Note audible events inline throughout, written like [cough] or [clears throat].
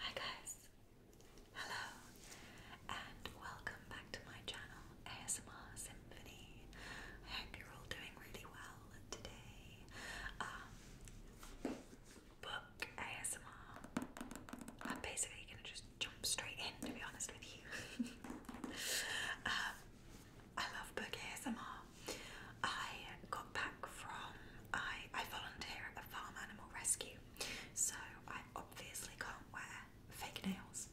Hi guys, hello, and welcome back to my channel ASMR Symphony. I hope you're all doing really well today. Um, book ASMR. I'm basically gonna just jump straight in, to be honest with you. [laughs] Um, I love book ASMR. I got back from I I volunteer at a farm animal rescue so I obviously can't wear fake nails.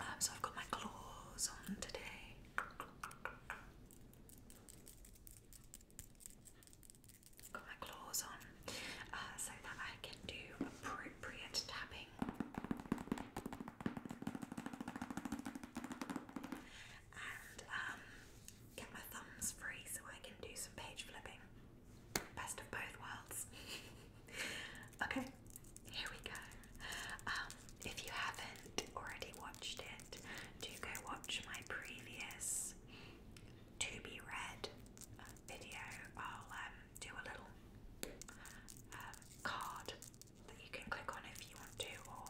Um, so I've got my claws on today. Got my claws on uh, so that I can do appropriate tapping. And um, get my thumbs free so I can do some page flipping. Best of both worlds. [laughs] okay, here we go. Um, if you haven't already watched it, do go watch my previous to be read video. I'll um, do a little uh, card that you can click on if you want to, or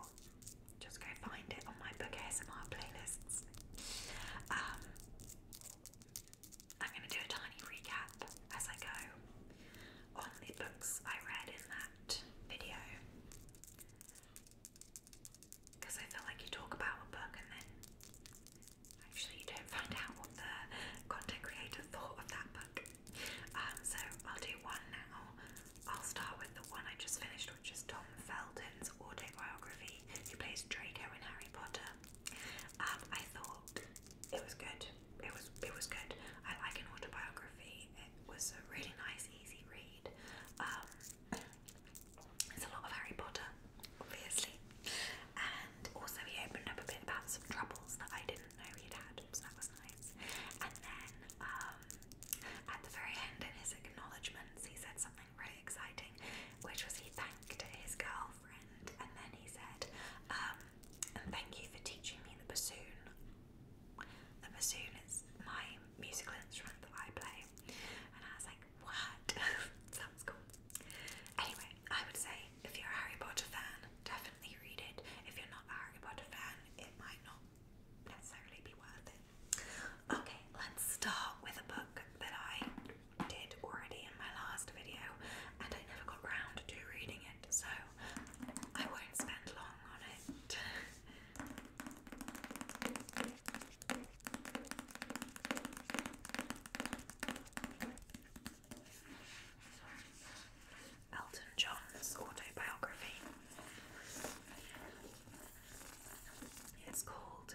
just go find it on my book ASMR playlists. Um, I'm going to do a tiny recap as I go on the books I read in that video. Because I feel like you talk about a book and then actually you don't find out what the content creator thought of that book. Um, so I'll do one now. I'll start with the one I just finished, which is Tom Felton's autobiography, he plays Draco in Harry Potter. Um, I thought it was good. It was it was good. I like an autobiography. It was a really nice, easy read. Um, it's a lot of Harry Potter, obviously, and also he opened up a bit about some troubles that I didn't know he'd had, so that was nice. And then um, at the very end, in his acknowledgements, he said something really exciting, which was he thanked his girlfriend and then he said, um, and thank you for teaching me the bassoon. The bassoon is my musical instrument that I play. And I was like, what? [laughs] Sounds cool. Anyway, I would say if you're a Harry Potter fan, definitely read it. If you're not a Harry Potter fan, it might not necessarily be worth it. Okay, let's start with a book that I did already in my last video and I never got round to reading it, so I won't spend long on it. Elton John's autobiography. It's called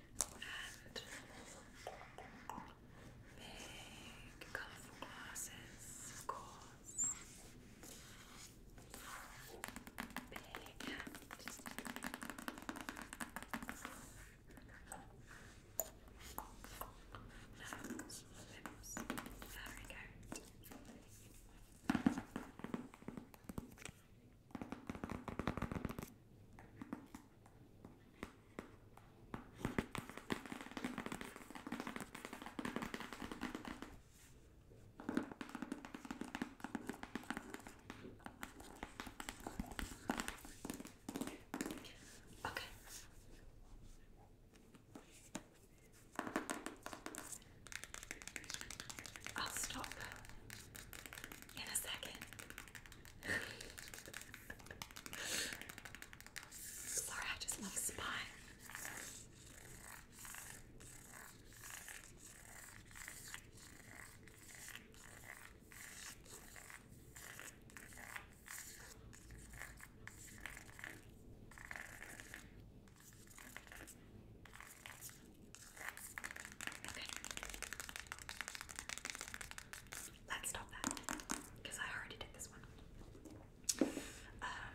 and big colorful glasses, of course. Big hat. Nose, lips, Okay. I'll stop in a second. Laura, I just love spy. Let's stop that because I already did this one. Um,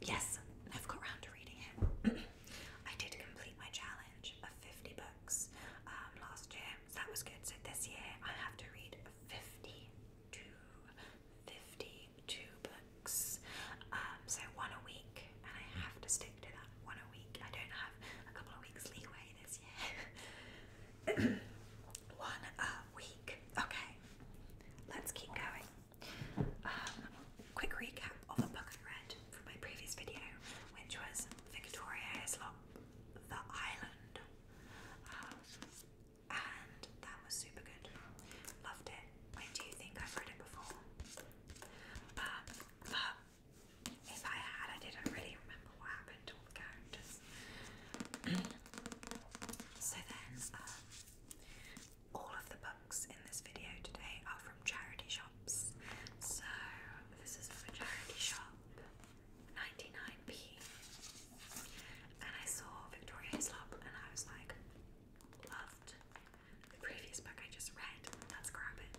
yes, I've got round to reading it. [clears throat] I did complete my challenge of 50 books um, last year, that was good. So this year I have to read 52, 52 books, um, so one a week, and I have to stick one a week. I don't have a couple of weeks leeway this year. [coughs] one a week. Okay, let's keep going. Um, quick recap of a book I read from my previous video, which was Victoria Islop, The Island. Um, and that was super good. Loved it. I do think I've read it before. Um, if I had, I didn't really remember what happened to all the characters. [clears throat] so then, um, all of the books in this video today are from charity shops. So this is from a charity shop, 99p. And I saw Victoria Hislop and I was like, loved the previous book I just read. Let's grab it.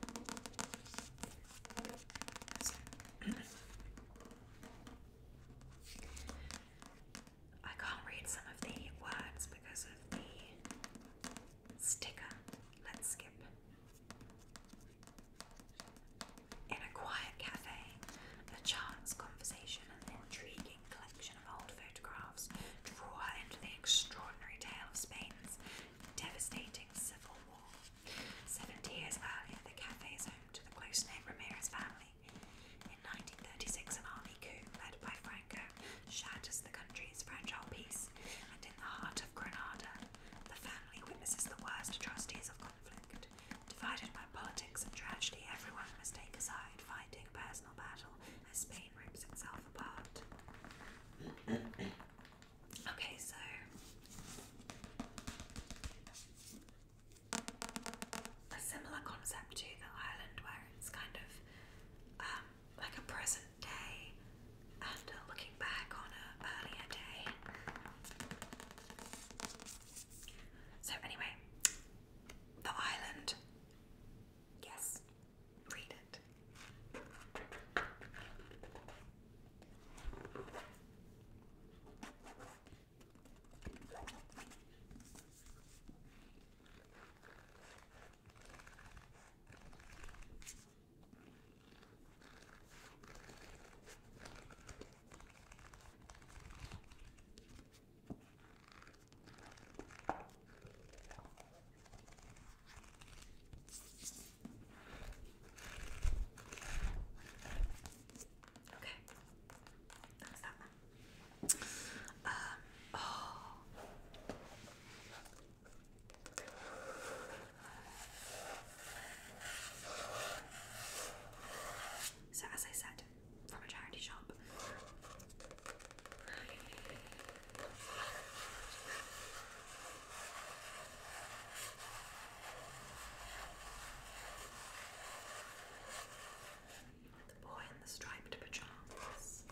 I can't read some of the words because of the sticker. Let's skip. In a quiet cafe, a chance conversation and an intriguing collection of old photographs draw her into the extraordinary tale of Spain's devastating civil war. Seventy years earlier, the cafe is home to the close knit Ramirez family. In 1936, an army coup led by Franco shatters the country's fragile peace, and in the heart of Granada, the family witnesses the worst atrocities of conflict. Divided by politics and tragedy, everyone must take a side, fighting a personal battle as Spain rips itself apart. [coughs] Okay, so a similar concept to the island where it's kind of um, like a present day and looking back on an earlier day. So, anyway, the island. Yes, read it. Okay, that's um, oh. So, as I said, from a charity shop, the boy in the striped pajamas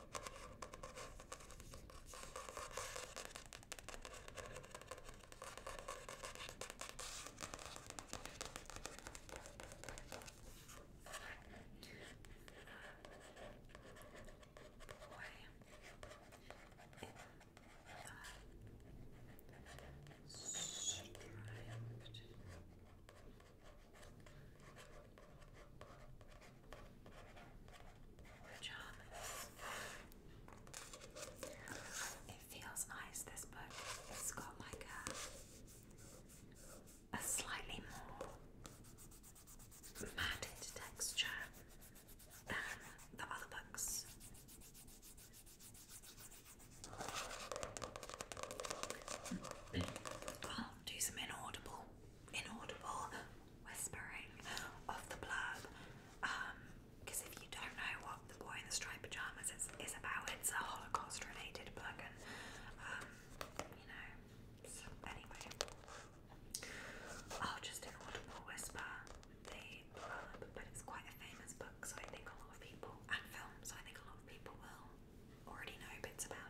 striped Pajamas. It feels nice. This book, it's got like a, a slightly more matted texture than the other books. i do some inaudible inaudible whispering of the blurb. Because um, if you don't know what The Boy in the Striped Pajamas is, about, it's a Holocaust related book, and um, you know, anyway, I'll oh, just inaudible whisper the blurb, but it's quite a famous book, so I think a lot of people, and film, so I think a lot of people will already know bits about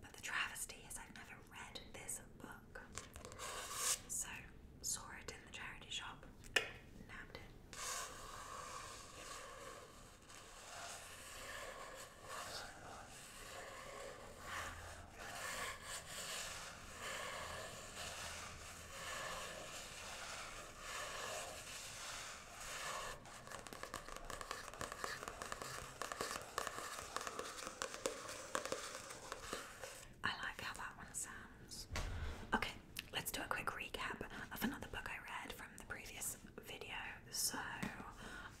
but the travesty is I've never read this book. So saw it in the charity shop, nabbed it. I like how that one sounds. Okay, let's do a quick recap of another book I read from the previous video. So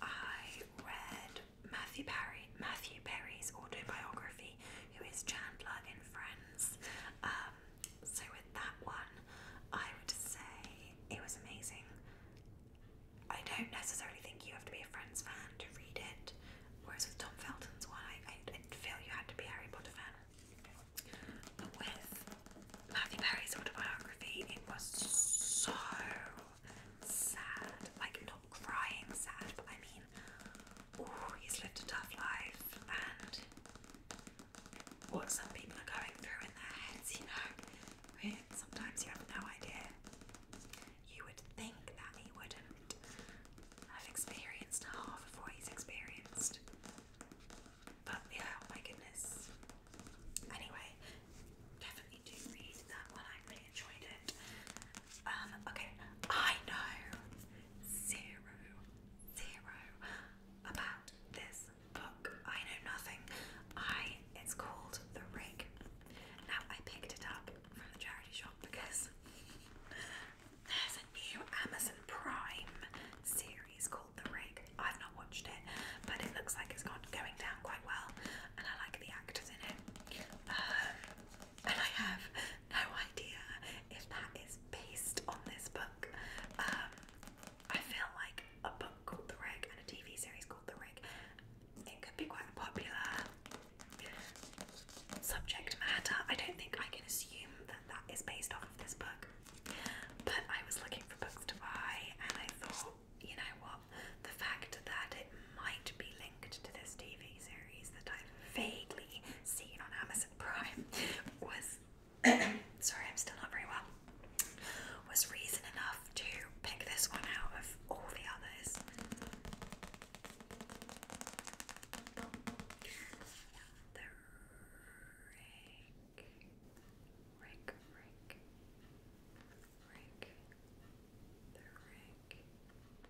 I read Matthew Perry Matthew Perry's autobiography who is Chandler in Friends. Um, so with that one, I would say it was amazing. I don't necessarily think you have to be a Friends fan to read it, whereas with Tom Felton's one, I, I, I feel you had to be Harry Potter fan. But with Matthew Perry's autobiography, it was so sad. Like, not crying sad, but I mean, oh, he's lived a tough life and what some people are going through in their heads, you know. Sometimes you have no idea. You would think that he wouldn't have experienced half of what he's experienced. But yeah, oh my goodness. Anyway, definitely do read that one. I really enjoyed it. Um, okay, I know zero, zero about this book. I know nothing. I it's called The Rig. Now I picked it up from the charity shop because there's a new Amazon Prime series called The Rig. I've not watched it, but it looks like it's gone going down quite well, and I like the actors in it. Um, and I have no idea if that is based on this book. Um, I feel like a book called The Rig and a TV series called The Rig. It could be quite a popular subject matter. I don't think I can assume that that is based off of this book. But I was looking for books to buy, and I thought, you know what, the fact that it might be to this TV series that I've vaguely seen on Amazon Prime was [clears throat] sorry, I'm still not very well. Was reason enough to pick this one out of all the others.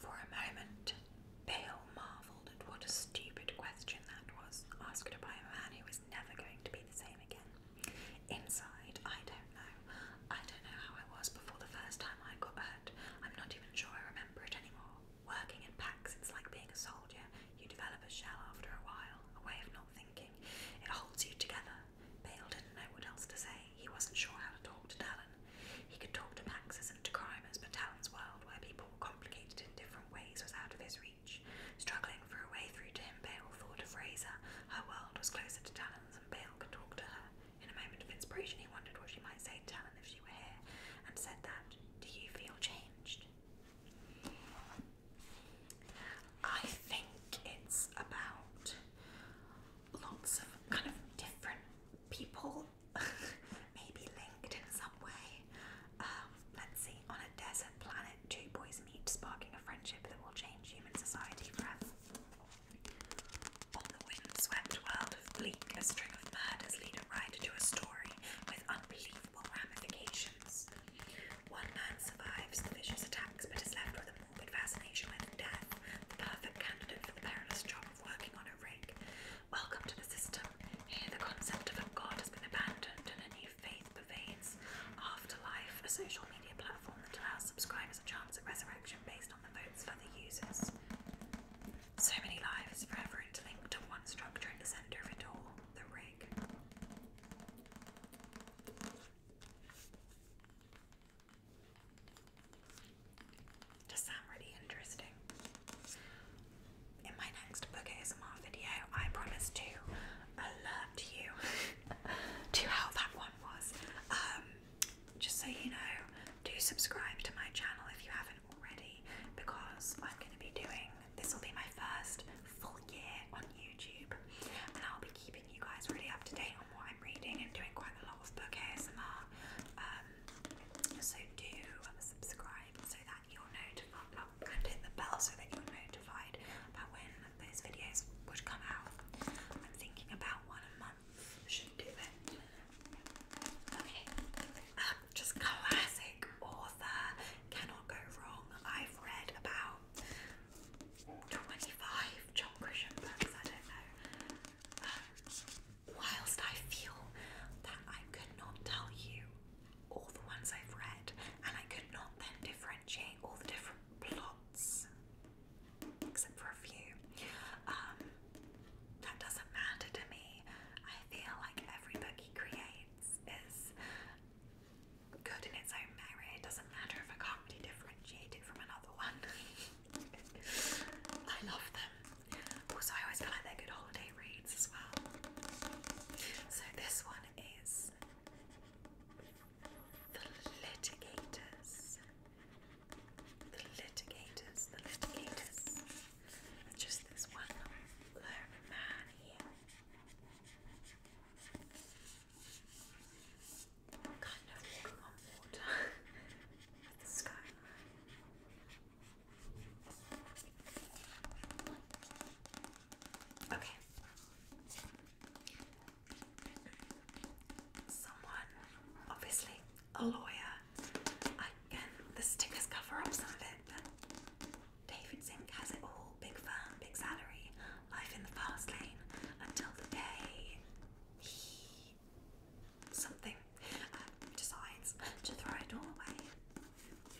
For a moment, Bale marveled at what a stupid question that was, asked by a man who was never going to be the same again. Inside, I don't know. I don't know how I was before the first time I got hurt. I'm not even sure I remember it anymore. Working in packs, it's like being a soldier. You develop a shell after a while, a way of not thinking. It holds you together, Bale didn't know what else to say. He wasn't sure how to talk to Talon. He could talk to Max's and to Crimers, but Talon's world, where people were complicated in different ways, was out of his reach. Struggling for a way through to him, Bale thought of Fraser. Her world was closer to Talon's, and Bale could talk to her. In a moment of inspiration, he wondered what she might say to Talon if she were here, and said that, Do you feel changed? I think it's about lots of kind of different people, [laughs] maybe linked in some way. Um, let's see, on a desert planet, two boys meet, sparking a friendship that will change human society forever. On the windswept world of Bleak, a string of murders lead a writer to a story with unbelievable ramifications. One man survives the vicious attacks but is left with a morbid fascination with death, the perfect candidate for the perilous job of working on a rig. Welcome to the system. Here the concept of a god has been abandoned and a new faith pervades. Afterlife, a social media platform that allows subscribers a chance at resurrection based on the votes for the users. So many lives forever interlinked to one structure at the center of it all, the rig. Does sound really interesting. In my next book ASMR video, I promise to alert you [laughs] to how that one was. Um, just so you know, do subscribe to my channel if you haven't already, because I'm going to be doing this. Will be my first full year on YouTube, and I'll be keeping you guys really up to date on what I'm reading and doing quite a lot of book ASMR. Um, so do subscribe so that you're notified and hit the bell so that you're notified about when those videos would come out. I'm thinking about one a month should do it. Okay, um, just classic author, cannot go wrong. I've read about 25 John Grisham books, I don't know. Um, whilst I feel that I could not tell you all the ones I've read, and I could not then differentiate all the different plots, except for a few, um, that doesn't matter to me. I feel like every book he creates is good in its own merit. It doesn't matter if I can't really differentiate from another one. [laughs] I love them. Also, I always feel like they're good holiday reads as well. So this one is The Litigators. The Litigators, The Litigators. just this one little man here kind of Okay. Someone, obviously a lawyer. I the stickers cover up some of it, but David Zink has it all. Big firm, big salary life in the fast lane until the day he something uh, decides to throw it all away.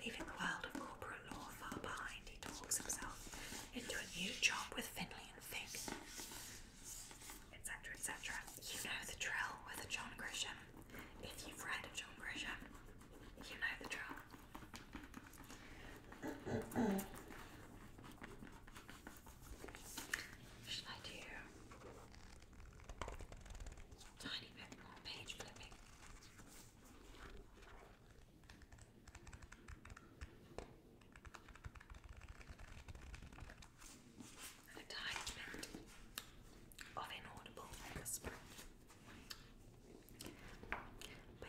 Leaving the world of corporate law far behind, he talks himself into a new job with Finley and Fig, etc. etc. You know the drill with John Grisham. If you've read John Grisham, you know the drill. Should I do tiny bit more page flipping? And of inaudible whisper.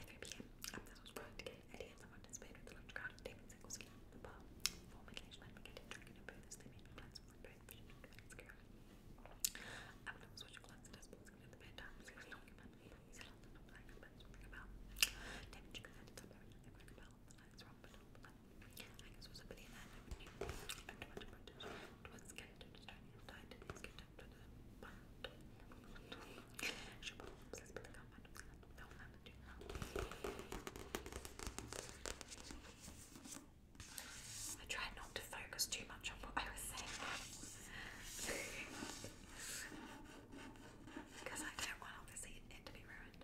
3 pm, I'm not اليد طبعا نسبيا في طلب كارت دايما زي قوسين بقى فوق ليش ما بقدر تركنا بس they made plans for birth vision that's girl I'm not switch plans that's supposed to be the bed time so it's not human he's not the number I'm about to bring about damn chicken at the top of the bring about the lines wrong but not but I guess was a billionaire I would need and too much about it it was scared to just try to die to get up to the bottom Je pense que I try not to focus too much on what I was saying. because I don't want obviously it to be ruined.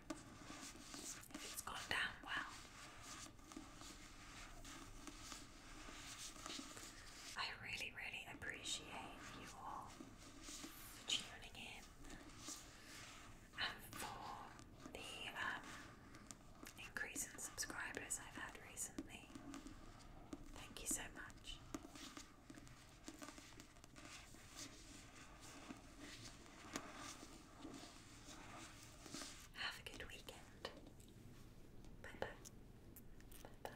if it's gone down well. I really, really appreciate you all tuning in and for the um, increase in subscribers I've had recently. Thank you so much. Have a good weekend. Bye bye. Bye bye.